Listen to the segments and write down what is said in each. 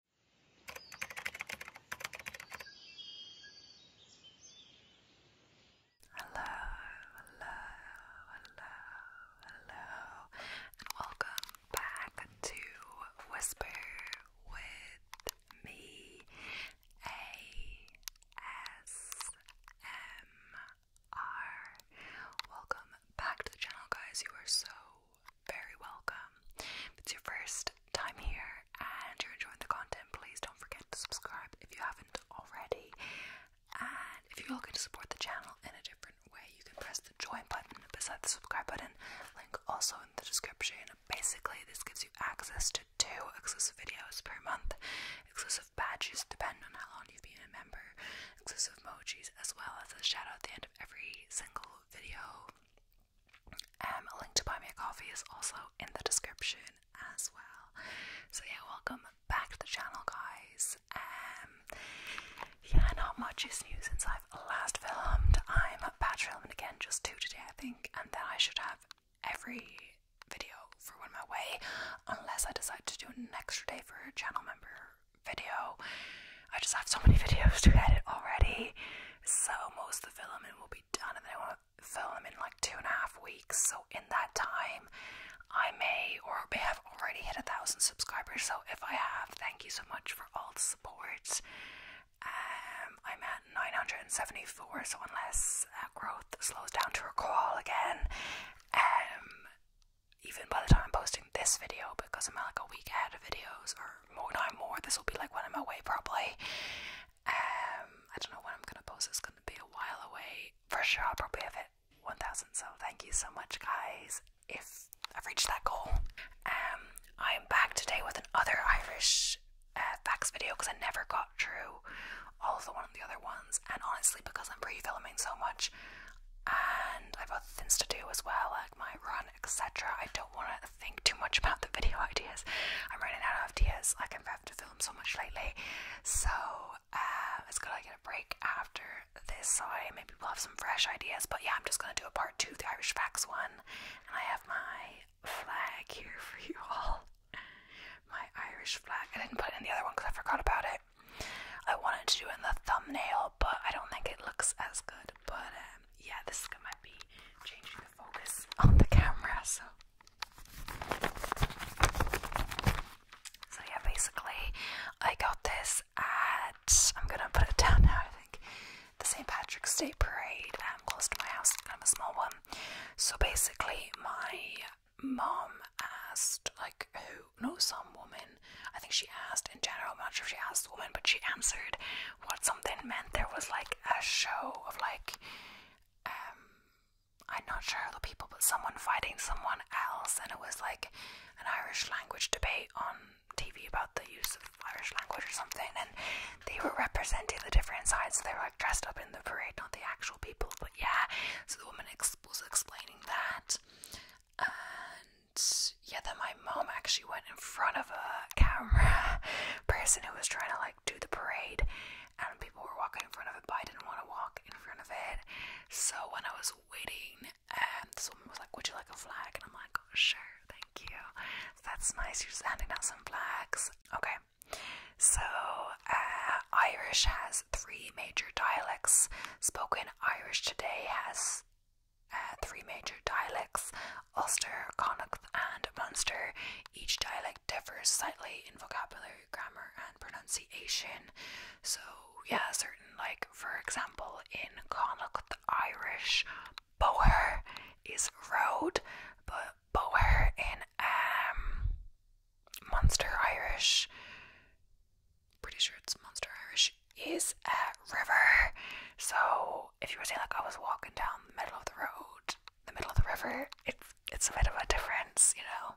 Hello, hello, hello, hello, and welcome back to Whisper with me ASMR. Welcome back to the channel, guys. You are so very welcome. If it's your first time here and you're enjoying the content, please don't forget to subscribe if you haven't already. And if you're looking to support the channel in a different way, you can press the join button beside the subscribe button, link also in the description. Basically, this gives you access to two exclusive videos per month, exclusive badges depending on how long you've been a member, exclusive emojis, as well as a shout at the end of every single video. Um, a link to buy me a coffee is also in the description as well. So yeah, welcome back to the channel, guys. Um, yeah, not much is new since I've last filmed. I'm batch filming again, just two today, I think, and then I should have every video for when my way, unless I decide to do an extra day for a channel member video. I just have so many videos to edit already. So most of the filming will be done, and then I want to film in like two and a half weeks. So in that time, I may or may have already hit a thousand subscribers. So if I have, thank you so much for all the support. Um, I'm at 974, so unless uh, growth slows down to a crawl again, um, even by the time I'm posting this video, because I'm at like a week ahead of videos or more, not more. This will be like when I'm away, probably. Um, I don't know when I'm gonna post. It's gonna be a while away. For sure, I'll probably have it 1,000. So thank you so much, guys. If I've reached that goal, um, I'm back today with another Irish uh, facts video because I never got through all of the one of the other ones. And honestly, because I'm pre-filming so much, and I've got things to do as well, my run, etc. I don't want to think too much about the video ideas. I'm running out of ideas. Like I've had to film so much lately, so uh, it's gonna get a break after this. So maybe we'll have some fresh ideas. But yeah, I'm just gonna do a part two, the Irish facts one, and I have my flag here for you all. My Irish flag. I didn't put it in the other one because I forgot about it. I wanted to do it in the thumbnail, but I don't think it looks as good it. But um, yeah, this might be changing the focus on the camera. So, yeah, basically, I got this at I'm gonna put it down now. I think the St. Patrick's Day parade I'm um, close to my house, kind of a small one. So basically, my mom asked like who, no, some woman I think she asked in general, I'm not sure if she asked the woman, but she answered what something meant. There was like a show of like, um, I'm not sure who the people, but someone fighting someone else, and it was like an Irish language debate on TV about the use of Irish language or something, and they were representing the different sides. they were like dressed up in the parade, not the actual people, but yeah. So the woman was explaining that, yeah, then my mom actually went in front of a camera person who was trying to like do the parade, and people were walking in front of it, but I didn't want to walk in front of it. So when I was waiting, and this woman was like, "Would you like a flag?" And I'm like, "Sure, thank you." that's nice. You're just handing out some flags. Okay. So uh, Irish has three major dialects spoken. Irish today has uh, three major dialects Ulster, Connacht, and Munster. Each dialect differs slightly in vocabulary, grammar, and pronunciation. So, yeah, certain, like, for example, in Connacht Irish, boer is road, but boer in um, Munster Irish, pretty sure it's Munster Irish, is a river. So if you were say like I was walking down the middle of the road, the middle of the river, it's it's a bit of a difference, you know.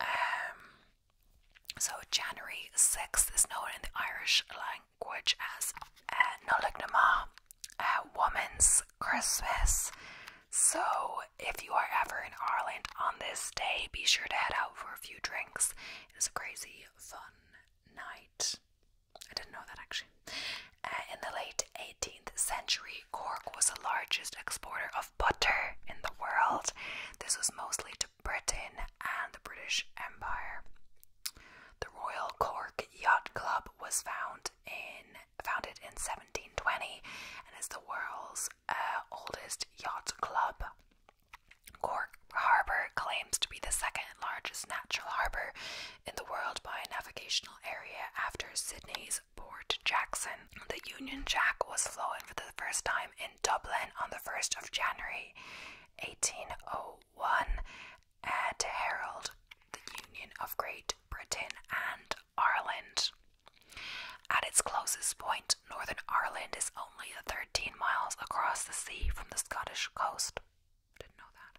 Um so January 6th is known in the Irish language as uh, Nolignama, a Woman's Christmas. So if you are ever in Ireland on this day, be sure to head out for a few drinks. It is crazy fun night. I didn't know that actually. Uh, in the late 18th century, Cork was the largest exporter of butter in the world. This was mostly to Britain and the British Empire. The Royal Cork Yacht Club was found in, founded in 1720 and is the world's uh, oldest yacht club. Cork Harbour claims to be the second largest natural harbour in the world by navigational area after Sydney's Port Jackson. The Union Jack was flown for the first time in Dublin on the 1st of January 1801 and heralded the Union of Great Britain and Ireland. At its closest point, Northern Ireland is only 13 miles across the sea from the Scottish coast. Didn't know that.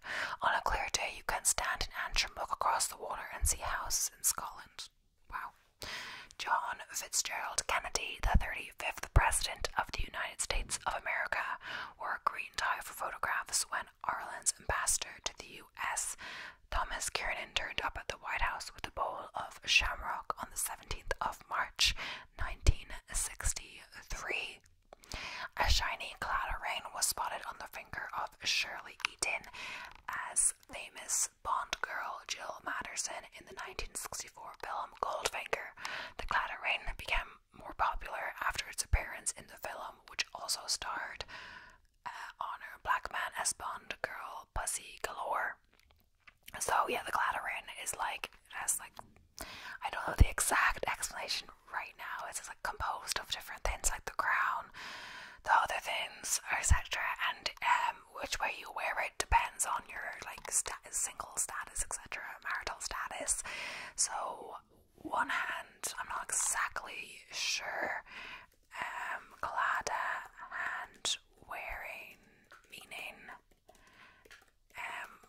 On a clear day, you can stand in Antrim, look across the water, and see houses in Scotland. Wow. John Fitzgerald Kennedy, the 35th President of the United States of America, wore a green tie for photographs when Ireland's ambassador to the U.S., Thomas Kiernan, turned up at the White House with a bowl of shamrock on the 17th of March 1963. A shiny cloud of rain was spotted on the finger of Shirley Eaton as famous Bond girl Jill Madderson in the 1964 film Goldfinger. The cloud of rain became more popular after its appearance in the film, which also starred uh, Honor Blackman as Bond girl Pussy Galore. So yeah, the cladorin is like as like I don't know the exact explanation right now. It's like composed of different things like the crown, the other things, etc. And um, which way you wear it depends on your like status, single status, etc. Marital status. So one hand, I'm not exactly sure. Um, and wearing meaning um,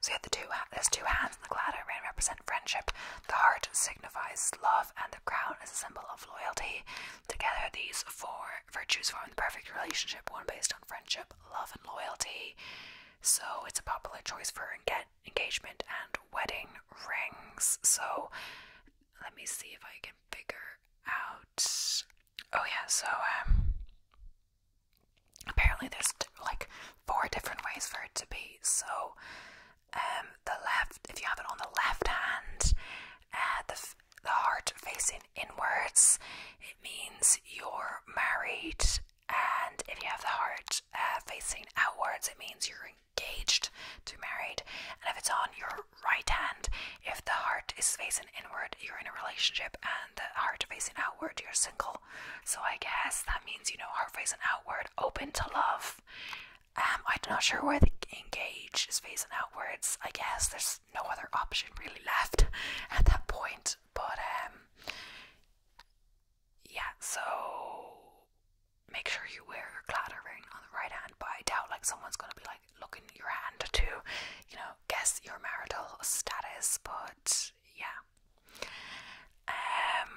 so yeah, the two there's two hands in the ladder represent friendship. The heart signifies love, and the crown is a symbol of loyalty. Together, these four virtues form the perfect relationship, one based on friendship, love, and loyalty. So it's a popular choice for engagement and wedding rings. So let me see if I can figure out Oh yeah, so um, apparently there's like four different ways for it to be. So um, the left if you have it on the left hand, uh, the the heart facing inwards, it means you're married and if you have the heart uh, facing outwards, it means you're engaged to married. And if it's on your right hand. If the heart is facing inward, you're in a relationship, and the heart facing outward, you're single. So I guess that means you know heart facing outward, open to love. Um, I'm not sure where the engage is facing outwards. I guess there's no other option really left at that point. But um, yeah. So make sure you wear your clattering on the right hand. But I doubt like someone's gonna be like like look in your hand to, you know, guess your marital status. But yeah, um,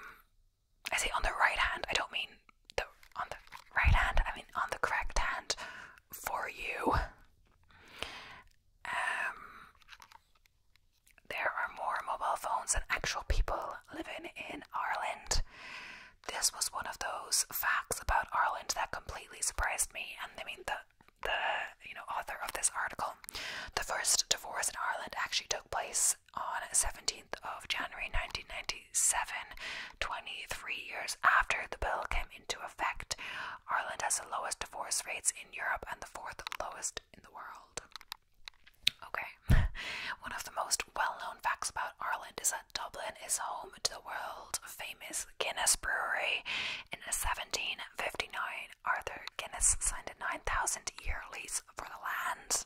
I say on the right hand. I don't mean the on the right hand. I mean on the correct hand for you. Um, there are more mobile phones than actual people living in Ireland this was one of those facts about Ireland that completely surprised me. And I mean, the the you know author of this article, the first divorce in Ireland actually took place on 17th of January 1997, 23 years after the bill came into effect. Ireland has the lowest divorce rates in Europe and the fourth lowest in the world. Okay, one of the most well known facts about Ireland is that. Dublin is home to the world famous Guinness Brewery. In 1759, Arthur Guinness signed a 9,000 year lease for the land.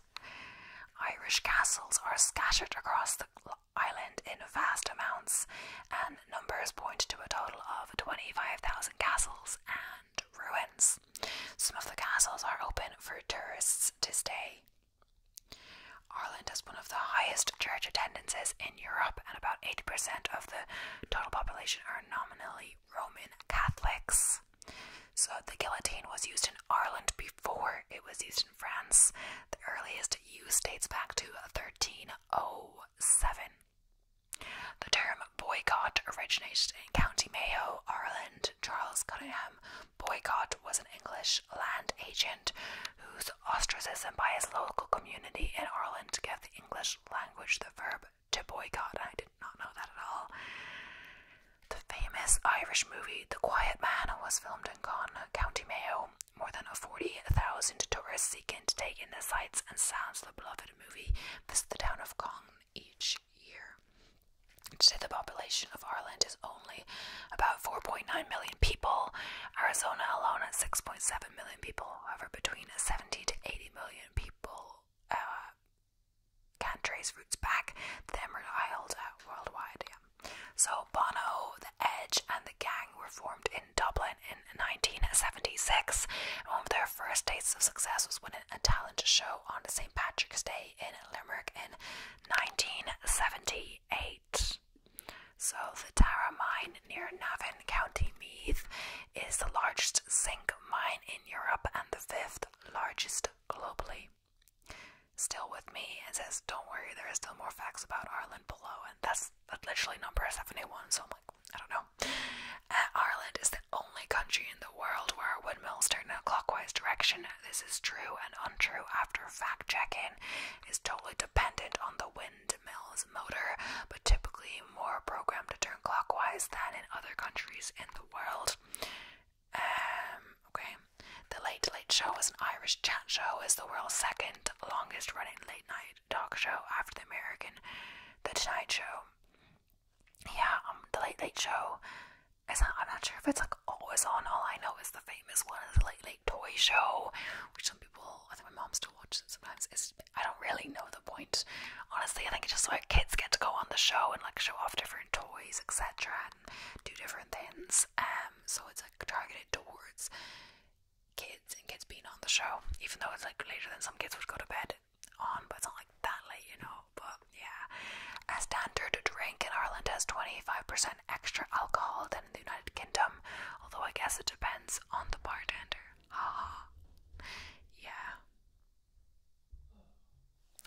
Irish castles are scattered across the island in vast amounts, and numbers point to a total of 25,000 castles and ruins. Some of the castles are open for tourists to stay. Ireland has one of the highest church attendances in Europe, and about 80% of the total population are nominally Roman Catholics. So the guillotine was used in Ireland before it was used in France. The earliest use dates back to 1307. The term boycott originated in County Mayo, Ireland. Charles Cunningham Boycott was an English land agent whose ostracism by his local community in Ireland gave the English language the verb to boycott. I did not know that at all. The famous Irish movie The Quiet Man was filmed in Con, County Mayo. More than 40,000 tourists seeking to take in the sights and sounds of the beloved movie visit the town of Con each year. Today, the population of Ireland is only only about 4.9 million people. Arizona alone at 6.7 million people. However, between 70 to 80 million people uh, can trace roots back to Emerald Isles uh, worldwide. Yeah. So Bono, The Edge, and The Gang were formed in Dublin in 1976. one of their first dates of success was winning a talent show on St. Patrick's Day in Limerick in 1978. So, the Tara mine near Navan, County Meath, is the largest zinc mine in Europe and the fifth largest globally. Still with me, it says, Don't worry, there are still more facts about Ireland below, and that's, literally number 71, so I'm like, I don't know. Uh, Ireland is the only country in the world where windmills turn in a clockwise direction. This is true and untrue after fact checking is totally dependent on the windmill's motor, but typically more programmed to turn clockwise than in other countries in the world. Um, okay. The Late Late Show is an Irish chat show, is the world's second longest running late night talk show after the American The Tonight Show. Yeah, um, The Late Late Show. I'm not sure if it's like always on. All I know is the famous one toy show, which some people, I think my mom still watches sometimes. It's, I don't really know the point. Honestly, I think it's just like kids get to go on the show and like show off different toys, etc., and do different things. Um, so it's like targeted towards kids and kids being on the show, even though it's like later than some kids would go to bed on, but it's not like that late, you know. But yeah, a standard drink in Ireland has 25% extra alcohol in the United Kingdom, although I guess it depends on the bartender. Ah, yeah.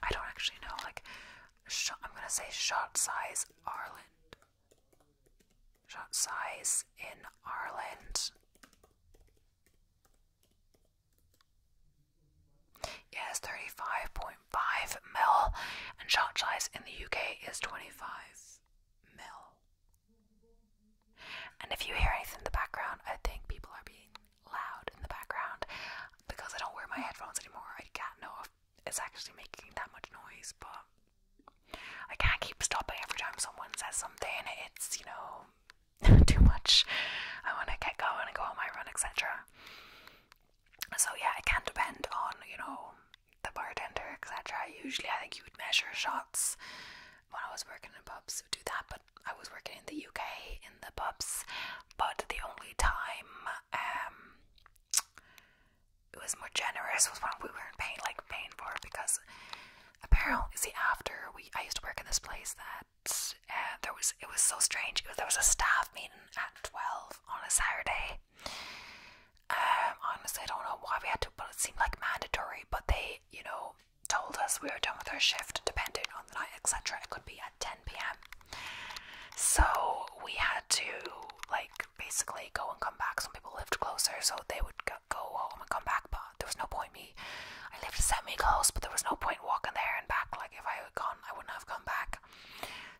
I don't actually know. Like, I'm gonna say shot size Ireland. Shot size in Ireland. Yes, thirty-five point Five mil, and shark size in the UK is 25 mil. And if you hear anything in the background, I think people are being loud in the background because I don't wear my headphones anymore. I can't know if it's actually making that much noise, but I can't keep stopping every time someone says something. It's, you know, too much. I want to get going and go on my run, etc. So, yeah, it can depend on, you know, the bartender, etc. Usually, I think you would measure shots when I was working in pubs, do that, but I was working in the UK in the pubs. But the only time um, it was more generous was when we were in pain, like pain for it because apparently, see, after we I used to work in this place that uh, there was it was so strange. there was a staff meeting at twelve on a Saturday. Um, honestly, I don't know why we had to, but it seemed like mandatory. But they, you know, told us we were done with our shift, depending on the night, etc. It could be at 10 p.m. So we had to, like, basically go and come back. Some people lived closer, so they would go home and come back. But there was no point me. I lived semi close, but there was no point walking there and back. Like, if I had gone, I wouldn't have come back.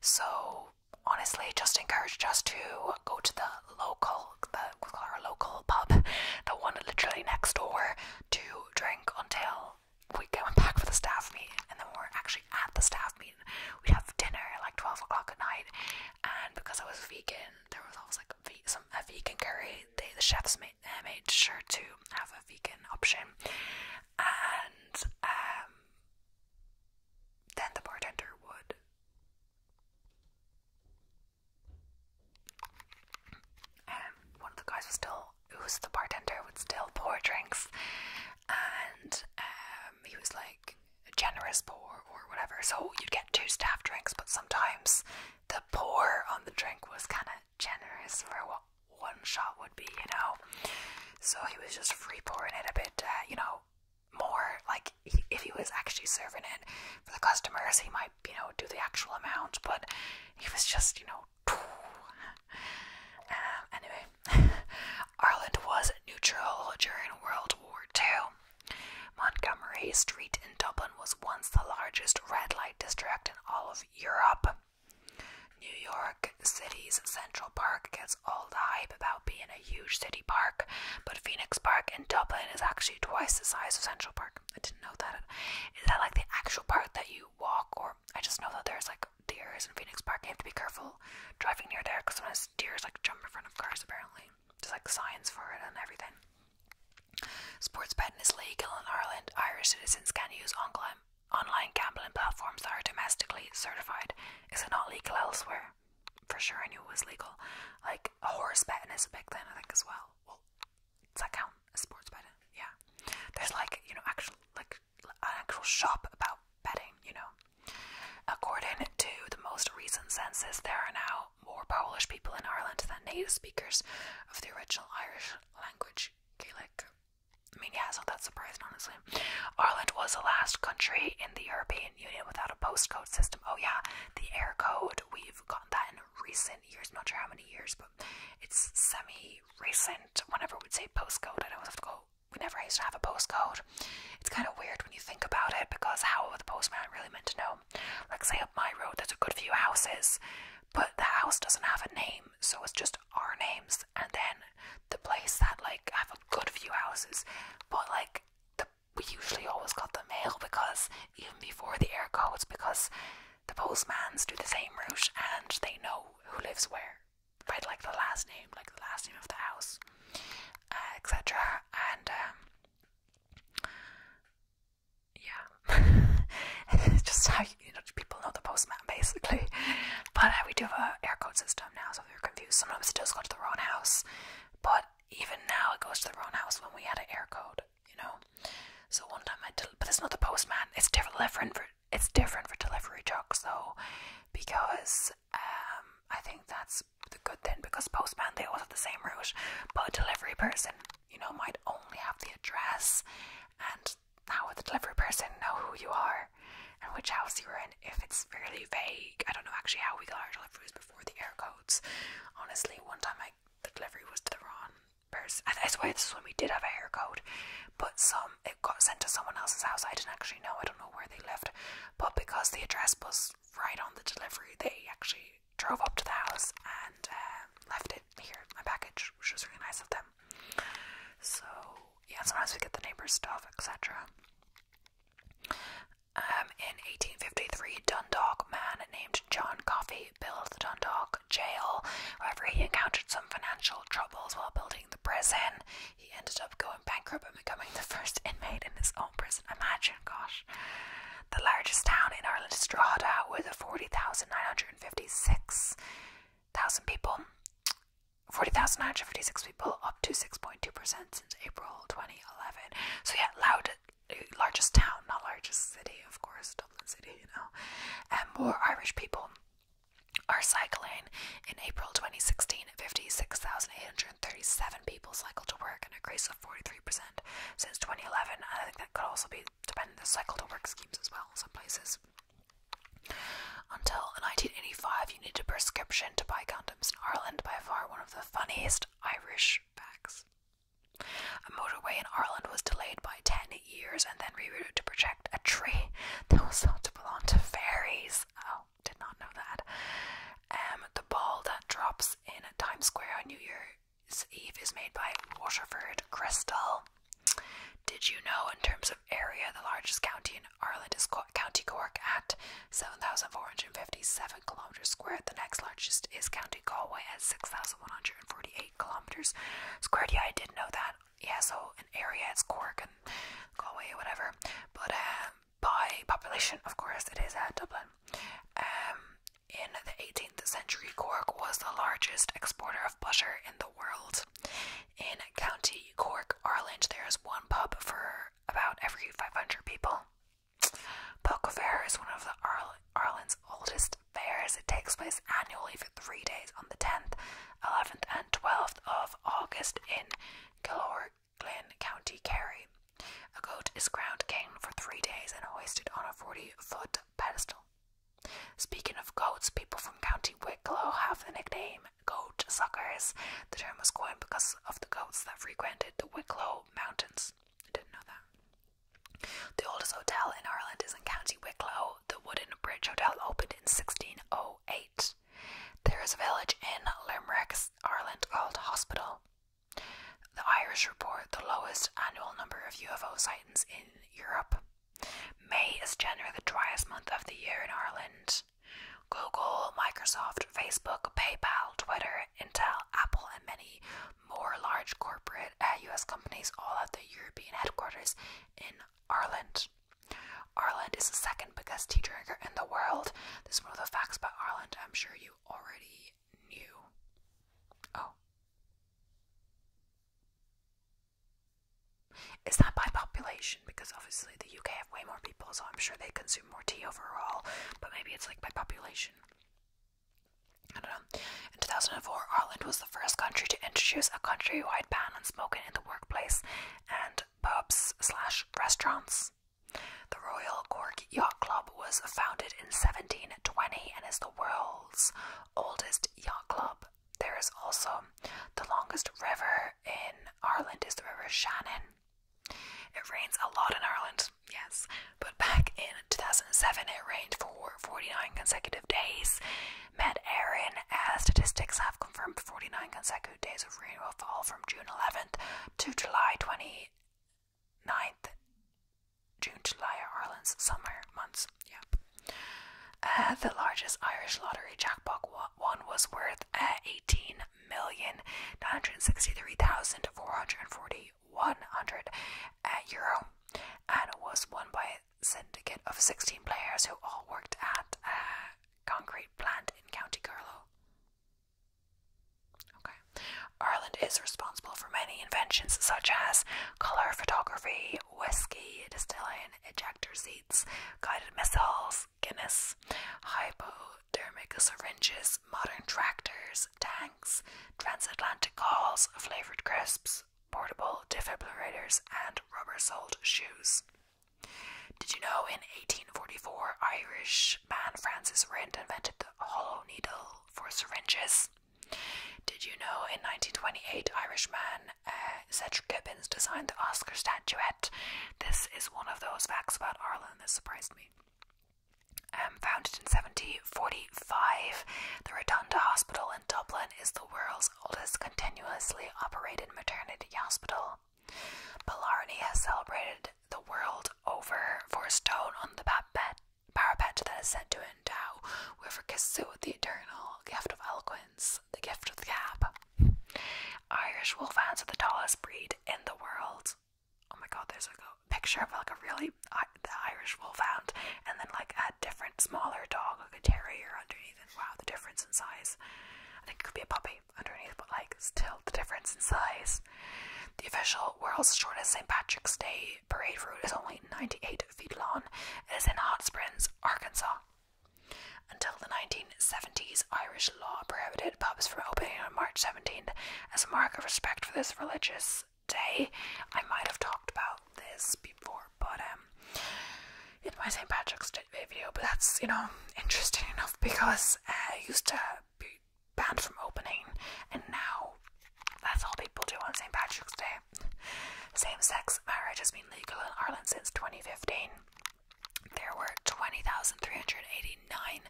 So honestly just encouraged us to go to the local, the, our local pub, the one literally next door, to drink until we went back for the staff meeting. And then we were actually at the staff meeting. We'd have dinner at like 12 o'clock at night. And because I was vegan, there was always like a, some, a vegan curry. They, the chefs made, uh, made sure to have a vegan option. And um, then the bartender would. And um, one of the guys was still, Who's the bartender, would still pour drinks, and um, he was like generous pour or whatever. So you'd get two staff drinks, but sometimes the pour on the drink was kind of generous for what one shot would be, you know. So he was just free pouring it a bit, uh, you know, more like if he was actually serving it for the customers he might you know do the actual amount but he was just you know um, anyway ireland was neutral during world war ii montgomery street in dublin was once the largest red light district in all of europe new york the City's Central Park gets all the hype about being a huge city park, but Phoenix Park in Dublin is actually twice the size of Central Park. I didn't know that. Is that like the actual park that you walk, or I just know that there's like deer in Phoenix Park. You have to be careful driving near there because sometimes deer like jump in front of cars. Apparently, there's like signs for it and everything. Sports betting is legal in Ireland. Irish citizens can use online gambling platforms that are domestically certified. Is it not legal elsewhere? For sure, I knew it was legal. Like a horse betting is a big thing, I think, as well. does that count as sports betting? Yeah. There's like you know actual like an actual shop about betting. You know. According to the most recent census, there are now more Polish people in Ireland than native speakers of the original Irish language, Gaelic. I mean, yeah, it's not that surprising, honestly. Ireland was the last country in the European Union without a postcode system. Oh, yeah, the air code, we've gotten that in recent years. Not sure how many years, but it's semi recent. Whenever we'd say postcode, I'd always have to go, we never used to have a postcode. It's kind of weird when you think about it because how would the postman really meant to know? Like, say, up my road, there's a good few houses, but the house doesn't have a name, so it's just our names and then the place that like I have a good few houses, but like the, we usually always got the mail because even before the air codes, because the postmans do the same route and they know who lives where by like the last name, like the last name of the house, uh, etc. And um, yeah, just how you know people know the postman basically. But uh, we do have a air code system now, so so we confused. Sometimes it does go to the wrong house, but even now it goes to the wrong house when we had an air code, you know. So one time I did, but it's not the postman. It's different for it's different for delivery trucks though, because um, I think that's the good thing because postman they all have the same route, but a delivery person you know might only have the address, and how would the delivery person know who you are? and which house you were in if it's fairly vague. I don't know actually how we got our deliveries before the air codes. Honestly, one time I, the delivery was to the wrong person. that's why swear this is when we did have a hair code, but some it got sent to someone else's house. I didn't actually know. I don't know where they lived, but because the address was right on the delivery, they actually drove up to the house and uh, left it here, my package, which was really nice of them. So yeah, sometimes we get the neighbor's stuff, etc. Um, in 1853, Dundalk man named John Coffey built the Dundalk jail. However, he encountered some financial troubles while building the prison. He ended up going bankrupt and becoming the first inmate in his own prison. Imagine, gosh. The largest town in Ireland is Drogheda with 40,956,000 people. 40,956 people, up to 6.2% since April 2011. So, yeah, loud, largest town, not largest city, of course, Dublin City, you know. And more Irish people are cycling. In April 2016, 56,837 people cycled to work, an increase of 43% since 2011. I think that could also be dependent on the cycle to work schemes as well in some places. Until 1985, you needed a prescription to buy condoms in Ireland, by far one of the funniest Irish facts. A motorway in Ireland was delayed by 10 years and then rerouted to protect a tree that was thought to belong to fairies. Oh, did not know that. Um, the ball that drops in Times Square on New Year's Eve is made by Waterford Crystal. Did you know, in terms of area, the largest county in Ireland is County Cork at 7,457 kilometres squared. The next largest is County Galway at 6,148 kilometres squared. Yeah, I did know that. Yeah, so an area is Cork and Galway, whatever. But um, by population, of course, it is at uh, Dublin. Um, in the 18th century, Cork was the largest exporter of butter in the world. In County Cork, Ireland, there is one pub for about every 500 people. Poker Fair is one of the Ireland's oldest fairs. It takes place annually for three days on the 10th, 11th, and 12th of August in Glorglin, County Kerry. A goat is crowned king for three days and hoisted on a 40 foot pedestal. Speaking of goats, people from County Wicklow have the nickname goat suckers. The term was coined because of the goats that frequented the Wicklow Mountains. I didn't know that. The oldest hotel in Ireland is in County Wicklow. The Wooden Bridge Hotel opened in 1608. There is a village in Limerick, Ireland called Hospital. The Irish report the lowest annual number of UFO sightings in Europe. May is generally the driest month of the year in Ireland. Google, Microsoft, Facebook, PayPal, Twitter, Intel, Apple, and many more large corporate US uh, companies all have their European headquarters in Ireland. Ireland is the second biggest tea drinker in the world. This is one of the facts about Ireland I'm sure you already knew. Oh. It's not by population because obviously the UK have way more people, so I'm sure they consume more tea overall, but maybe it's like by population. In 2004, Ireland was the first country to introduce a countrywide ban on smoking in the workplace and pubs slash restaurants. The Royal Cork Yacht Club was founded in 1720 and is the world's oldest yacht club there is also the longest river in Ireland is the River Shannon. It rains a lot in Ireland, yes, but back in 2007 it rained for 49 consecutive days. Met Erin, uh, statistics have confirmed 49 consecutive days of rainfall from June 11th to July 29th. June, July Ireland's summer months. Yep. Uh, the largest Irish lottery jackpot was one was worth uh, eighteen million nine hundred sixty-three thousand four hundred forty one hundred uh, and was won by a syndicate of sixteen players who all worked at a uh, concrete plant in County Carlow. Ireland is responsible for many inventions such as colour photography, whiskey distilling, ejector seats, guided missiles, Guinness, hypodermic syringes, modern tractors, tanks, transatlantic calls, flavored crisps, portable defibrillators, and rubber-soled shoes. Did you know in 1844 Irish man Francis Rind invented the hollow needle for syringes? Did you know in 1928 Irishman uh, Cedric Gibbons designed the Oscar statuette. This is one of those facts about Ireland that surprised me. Um, founded in 1745, the Rotunda Hospital in Dublin is the world's oldest continuously operated maternity hospital. Killarney has celebrated the world over for a stone on the parapet, that is said to endow whoever kisses it with the eternal gift of eloquence, the gift of the gab. Irish Wolfhounds are the tallest breed in the world. Oh my god, there's like a picture of like a really the Irish Wolfhound, and then like a different smaller dog, like a terrier underneath Wow, the difference in size. I think it could be a puppy underneath, but like still the difference in size. The official world's shortest St. Patrick's Day parade route is only 98 feet long. It is in Hot Springs, Arkansas. Until the 1970s, Irish law prohibited pubs from opening on March 17th as a mark of respect for this religious day. I might have talked about this before, but um, in my St. Patrick's Day video, but that's, you know, interesting enough because uh, I used to be banned from opening, and now that's all people do on St. Patrick's Day. Same sex marriage has been legal in Ireland since 2015 there were 20,389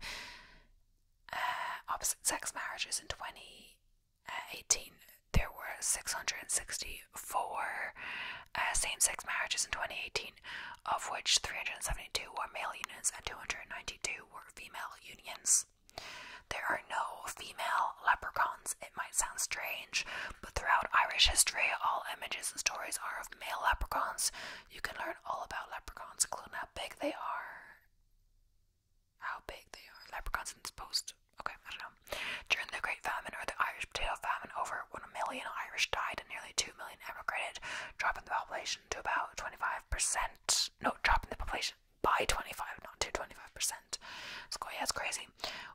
uh, opposite sex marriages in 2018. There were 664 uh, same sex marriages in 2018, of which 372 were male unions and 292 were female unions. There are no female leprechauns. It might sound strange, but throughout Irish history, all images images and stories are of male leprechauns. You can learn all about leprechauns, including how big they are. How big they are. Leprechauns in this post. Okay, I don't know. During the Great Famine or the Irish Potato Famine, over 1 million Irish died and nearly 2 million emigrated, dropping the population to about 25%. No, dropping the population by 25, not to 25%. So, yeah, it's crazy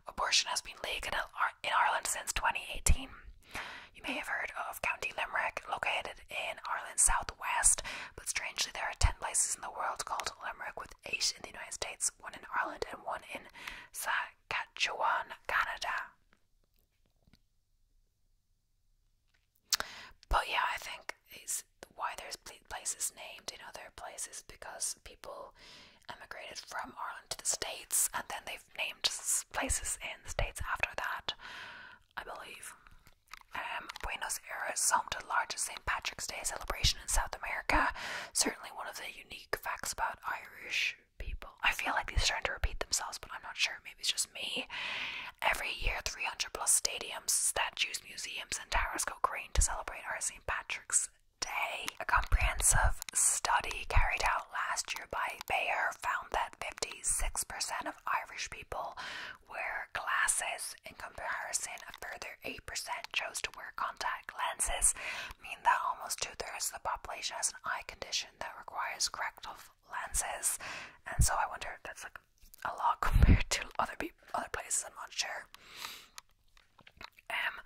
Abortion has been legal in Ireland since 2018. You may have heard of County Limerick, located in Ireland's southwest, but strangely, there are 10 places in the world called Limerick, with 8 in the United States, 1 in Ireland, and 1 in Saskatchewan, Canada. But yeah, I think it's why there's places named in other places because people emigrated from Ireland to the States and then they named places in states after that, I believe. Um, Buenos Aires home to the largest St. Patrick's Day celebration in South America. Certainly one of the unique facts about Irish people. I feel like these are starting to repeat themselves, but I'm not sure. Maybe it's just me. Every year, 300 plus stadiums, statues, museums, and towers go green to celebrate our St. Patrick's a comprehensive study carried out last year by Bayer found that 56% of Irish people wear glasses. In comparison, a further 8% chose to wear contact lenses, meaning that almost two thirds of the population has an eye condition that requires corrective lenses. And so I wonder if that's like a lot compared to other other places. in am um,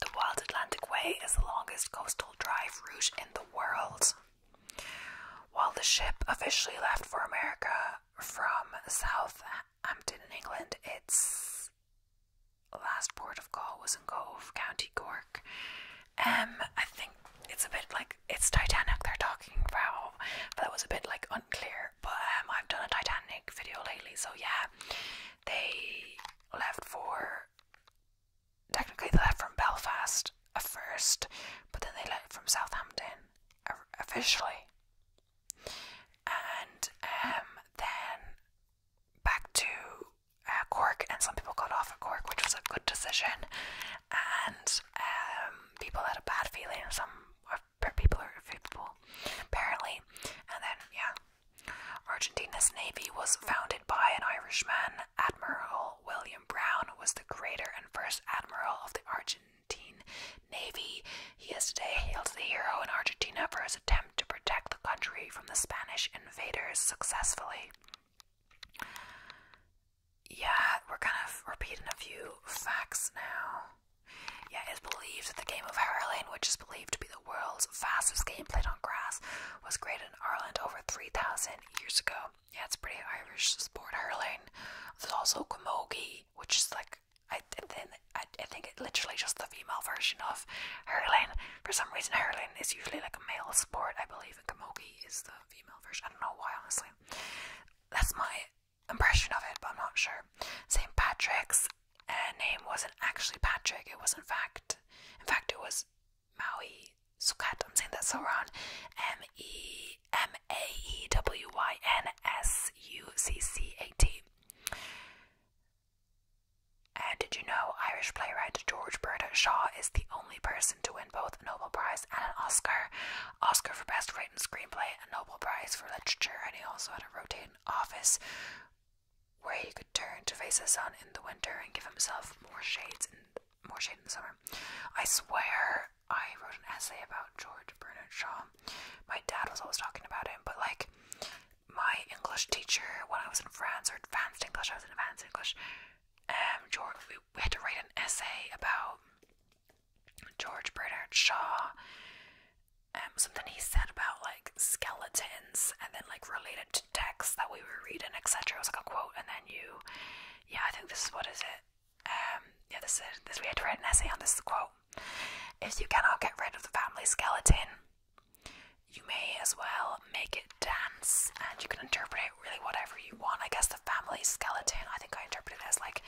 the Wild Atlantic Way is the longest coastal drive route in the world. While the ship officially left for America from Southampton in England, its last port of call was in Cove, County Cork. Um, I think it's a bit like it's Titanic they're talking about, but that was a bit like unclear. But um, I've done a Titanic video lately, so yeah, they left for Technically, they left from Belfast at first, but then they left from Southampton officially, and um, then back to uh, Cork. And some people got off at Cork, which was a good decision. And um, people had a bad feeling. Some people are people apparently, and then yeah, Argentina's navy was founded by an Irishman. Admiral William Brown was the creator and first admiral of the Argentine Navy. He is today hailed the hero in Argentina for his attempt to protect the country from the Spanish invaders successfully. Yeah, we're kind of repeating a few facts now. Yeah, it is believed that the game of hurling, which is believed to be the world's fastest game played on grass, was created in Ireland over 3,000 years ago. Yeah, it's pretty Irish sport hurling. There's also camogie, which is like I then I, I think it literally just the female version of hurling. For some reason, hurling is usually like a male sport, I believe, and camogie is the female version. I don't know why, honestly. That's my impression of it, but I'm not sure. St. Patrick's her uh, name wasn't actually Patrick, it was in fact, in fact, it was Maui Sukat. I'm saying that so wrong. M E M A E W Y N S U C C A T. And did you know Irish playwright George Bernard Shaw is the only person to win both a Nobel Prize and an Oscar? Oscar for Best Written Screenplay, a Nobel Prize for Literature, and he also had a rotating office where he could turn to face the sun in the winter and give himself more shades and more shade in the summer. I swear I wrote an essay about George Bernard Shaw. My dad was always talking about him, but like my English teacher when I was in France or advanced English, I was in advanced English. Um, George, we, had to write an essay about George Bernard Shaw. Um, something he said about like skeletons and then like related to text that we were reading, etc. It was like a quote, and then you, yeah, I think this is what is it? Um, yeah, this is this. We had to write an essay on this quote. If you cannot get rid of the family skeleton, you may as well make it dance, and you can interpret it really whatever you want. I guess the family skeleton. I think I interpreted it as like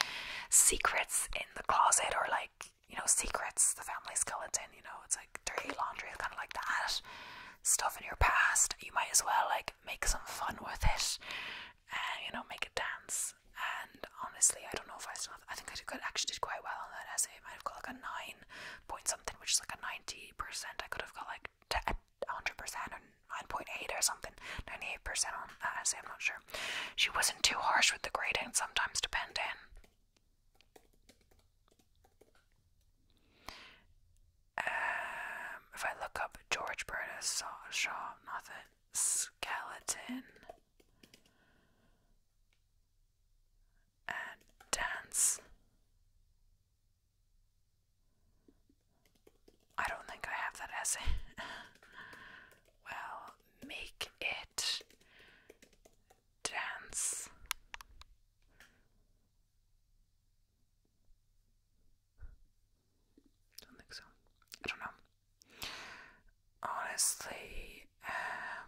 secrets in the closet, or like you know, secrets, the family skeleton, you know, it's like dirty laundry, kind of like that. Stuff in your past, you might as well like make some fun with it and you know, make a dance. And honestly, I don't know if I still have, I think I could actually did quite well on that essay. I might have got like a 9 point something, which is like a 90%. I could have got like 100% or 9.8 or something, 98% on that essay, I'm not sure. She wasn't too harsh with the grading, sometimes depending. Um, if I look up George Bernard Shaw, nothing. Skeleton and dance. I don't think I have that essay. well, make it dance. Don't think so. I don't know. Honestly, um,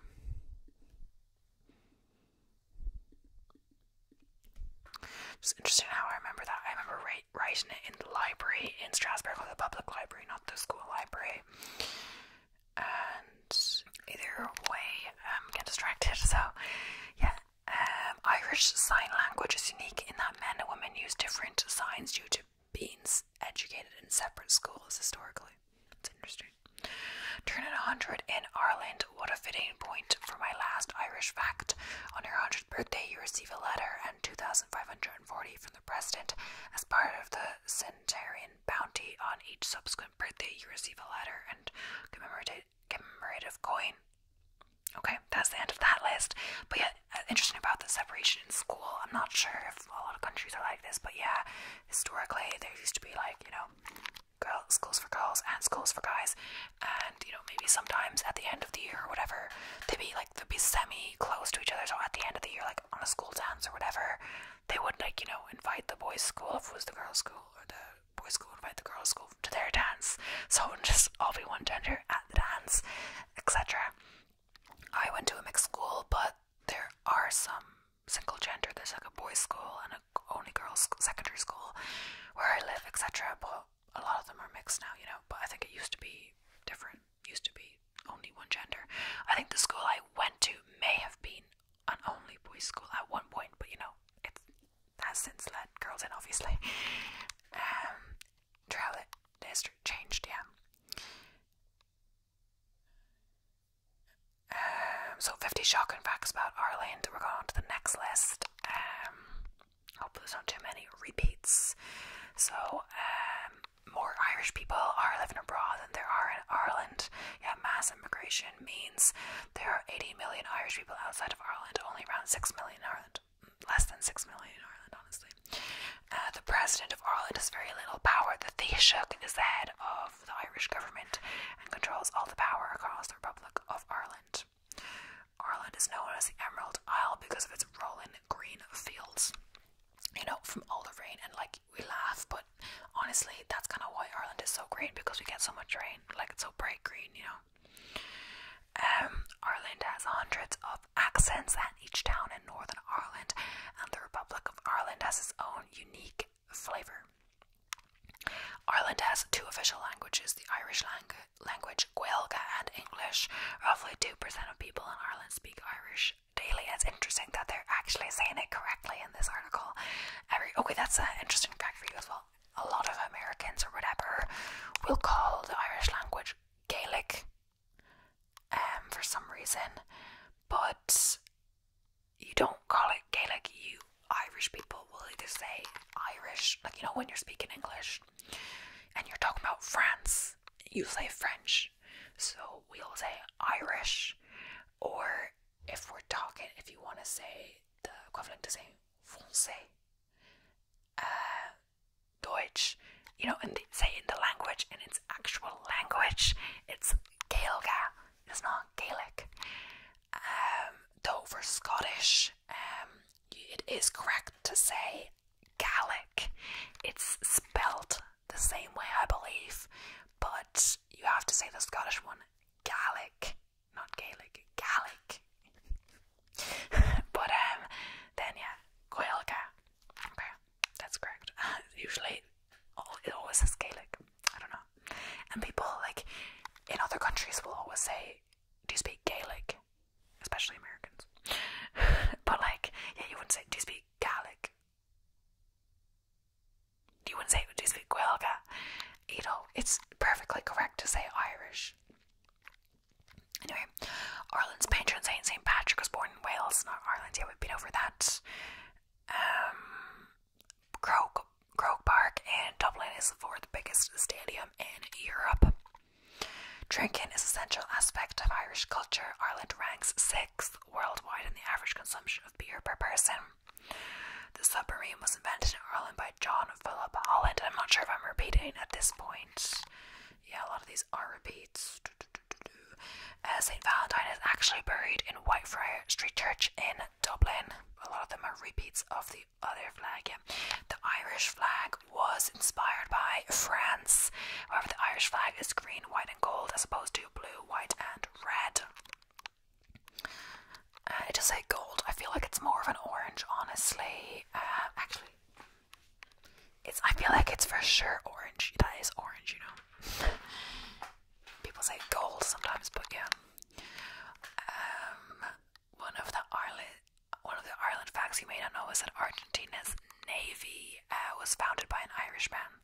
interesting how I remember that. I remember writing it in the library in Strasbourg, the public library, not the school library and either way um, get distracted. So, yeah. Um, Irish Sign Language is unique in that men and women use different signs due to being educated in separate schools historically. It's interesting. Turning 100 in Ireland, what a fitting point for my last Irish fact. On your 100th birthday, you receive a letter and 2,540 from the President as part of the centenarian bounty on each subscription birthday, you receive a letter and commemorative commemorative coin. Okay, that's the end of that list. But yeah, uh, interesting about the separation in school. I'm not sure if a lot of countries are like this, but yeah, historically there used to be like you know, girls schools for girls and schools for guys, and you know maybe sometimes at the end of the year or whatever, they'd be like they'd be semi close to each other. So at the end of the year, like on a school dance or whatever, they would like you know invite the boys' school if it was the girls' school or the boys' school invite the girls' school to their dance, so it would just all be one gender at the dance, etc. I went to a mixed school, but there are some single gender. There's like a boys' school and a only girls' secondary school where I live, etc. But a lot of them are mixed now, you know. But I think it used to be different. Used to be only one gender. I think the school I went to may have been an only boys school at one point, but you know, it has since let girls in, obviously. Um, throughout the history changed, yeah. Um, so 50 shocking facts about Ireland. We're going on to the next list. Um, hope there's not too many repeats. So, um, more Irish people are living abroad than there are in Ireland. Yet mass immigration means there are 80 million Irish people outside of Ireland, only around 6 million in Ireland. Less than 6 million in Ireland, honestly. Uh, the president of Ireland has very little power. The Taoiseach is the head of the Irish government and controls all the power across the Republic of Ireland. Ireland is known as the Emerald Isle because of its rolling green fields, you know, from all the rain and like we laugh, but honestly, that's kind of why Ireland is so green because we get so much rain. Like it's so bright green, you know. Um, Ireland has hundreds of accents, and each town in Northern Ireland and the Republic of Ireland has its own unique flavour. Ireland has two official languages the Irish language, Gaelic, and English. Roughly 2% of people in Ireland speak Irish daily. It's interesting that they're actually saying it correctly in this article. Every okay, that's an interesting fact for you as well. A lot of Americans or whatever will call the Irish language Gaelic um, for some reason, but you don't call it Gaelic. You Irish people will either say Irish, like you know, when you're speaking English and you're talking about France, you say French. So we'll say Irish or if we're talking, if you want to say the equivalent to saying français, uh, Deutsch, you know, and say in the language, in its actual language, it's Gaelga, it's not Gaelic. Um, though for Scottish, um, it is correct to say Gaelic. It's spelled the same way, I believe, but you have to say the Scottish one Gaelic, not Gaelic, Gaelic. but um, then yeah, Gaelica. Okay, that's correct. Usually, it always says Gaelic. I don't know. And people like in other countries will always say, "Do you speak Gaelic?" Especially Americans. but like, yeah, you wouldn't say, "Do you speak Gaelic?" you wouldn't say you speak Gaelga? You know, it's perfectly correct to say Irish. Anyway, Ireland's patron saint, St. Patrick, was born in Wales, not Ireland. Yeah, we've been over that. Um, Croke, Croke Park in Dublin is the fourth biggest stadium in Europe. Drinking is a central aspect of Irish culture. Ireland ranks sixth worldwide and the average consumption of beer per person. The submarine was invented in Ireland by John Philip Holland. I'm not sure if I'm repeating at this point. Yeah, a lot of these are repeats. Uh, St. Valentine is actually buried in Whitefriar Street Church in Dublin. A lot of them are repeats of the other flag. The Irish flag was inspired by France. However, the Irish flag is green, white, and gold as opposed to blue, white, and and red. Uh, it does say gold. I feel like it's more of an orange, honestly. Uh, actually, it's. I feel like it's for sure orange. That is orange, you know. People say gold sometimes, but yeah. Um, one of the Ireland, one of the Ireland facts you may not know is that Argentina's navy uh, was founded by an Irishman.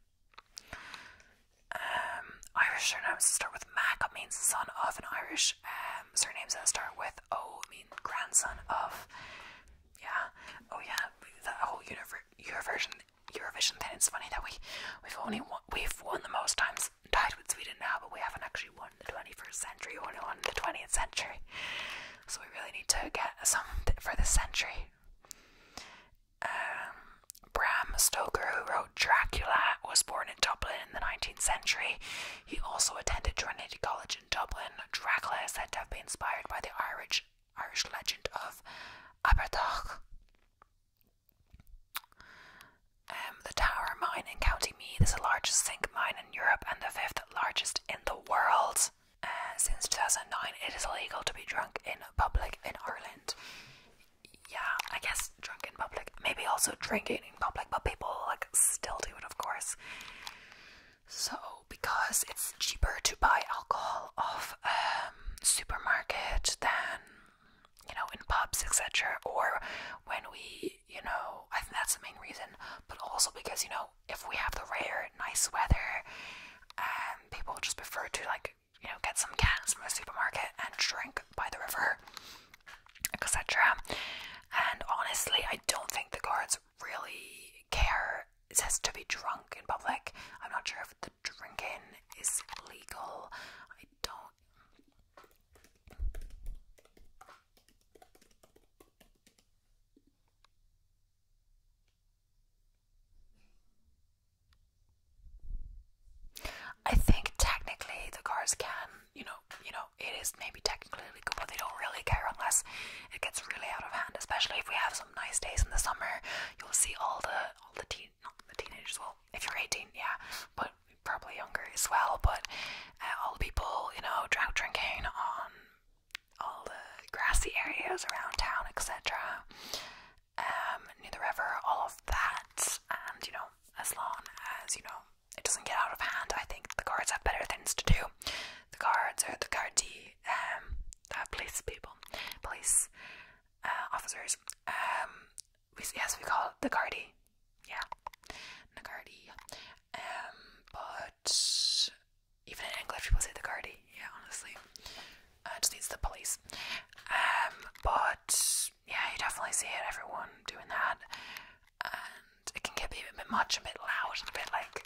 Um, Irish surnames that start with Mac means son of, and Irish um, surnames that start with O mean grandson of. Yeah, oh yeah, the whole Eurovision Eurovision thing. It's funny that we we've only won, we've won the most times, tied with Sweden now, but we haven't actually won the twenty first century. or won the twentieth century, so we really need to get some for the century. Um, Bram Stoker, who wrote Dracula, was born in Dublin in the 19th century. He also attended Trinity College in Dublin. Dracula is said to have been inspired by the Irish Irish legend of Abertach. Um, the Tower Mine in County Meath is the largest zinc mine in Europe and the fifth largest in the world. Uh, since 2009, it is illegal to be drunk in public in Ireland. Yeah, I guess drunk in public. Maybe also drinking in public, but people like still do it, of course. So, because it's cheaper to buy alcohol off um, supermarket than you know in pubs, etc., or when we, you know, I think that's the main reason, but also because you know if we have the rare nice weather, um, people just prefer to like you know, get some cans from the supermarket and drink by the river, etc. And honestly, I don't think the guards really care. It says to be drunk in public. I'm not sure if the drinking is legal. I don't. I think technically the cars can, you know, you know, it is maybe technically legal, but they don't really care unless it gets really out of hand. Especially if we have some nice days in the summer, you'll see all the all the teen, not the teenagers. Well, if you're 18, yeah, but probably younger as well. But uh, all the people, you know, drunk drinking on all the grassy areas around town, etc um, near the river, all of that, and you know, as long as you know it doesn't get out of hand, I think the guards have better things to do. The guards are the guardie, um, the police people, police uh, officers. Um, yes, we call it the guardie. Yeah, the guardie. Um, but even in English, people say the guardie. Yeah, honestly uh, just needs the police. Um, but yeah, you definitely see it, everyone doing that. And it can get a bit, a bit much, a bit loud, a bit like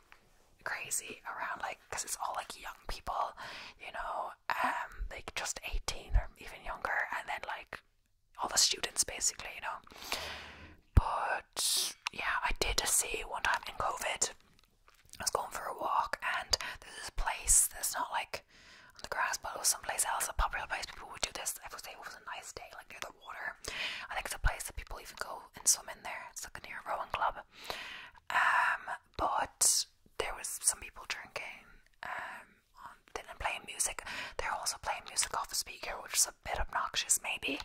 crazy around, like, because it's all like young people, you know, um, like just 18 or even younger, and then like all the students basically, you know. But yeah, I did see one time in COVID I was going for a walk, and there's this place that's not like on the grass, but it was someplace else, a popular place. People would do this every day. It was a nice day, like near the water. I think it's a place that people even go and swim in there. It's like a near rowing club. Um, but there was some people drinking. Um, then playing music. They're also playing music off a speaker, which is a bit obnoxious, maybe.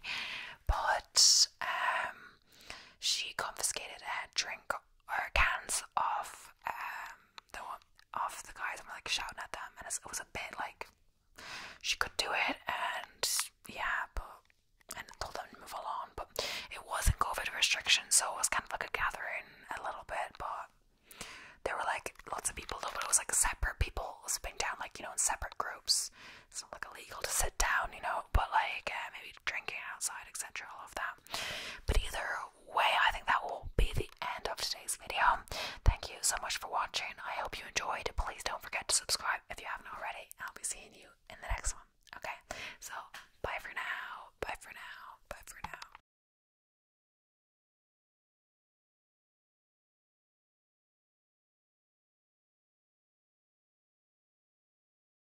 But um, she confiscated a drink her hands off, um the of the guys I'm like shouting at them and it was a bit like she could do it and yeah but and told them move along but it wasn't COVID restrictions so it was kind of like a gathering a little bit but there were like lots of people though but it was like separate people sitting down like you know in separate groups it's like illegal to sit down you know but like uh, maybe drinking outside etc all of that but either way, I think that will be the end of today's video. Thank you so much for watching. I hope you enjoyed. Please don't forget to subscribe if you haven't already. I'll be seeing you in the next one. Okay? So, bye for now. Bye for now. Bye for now.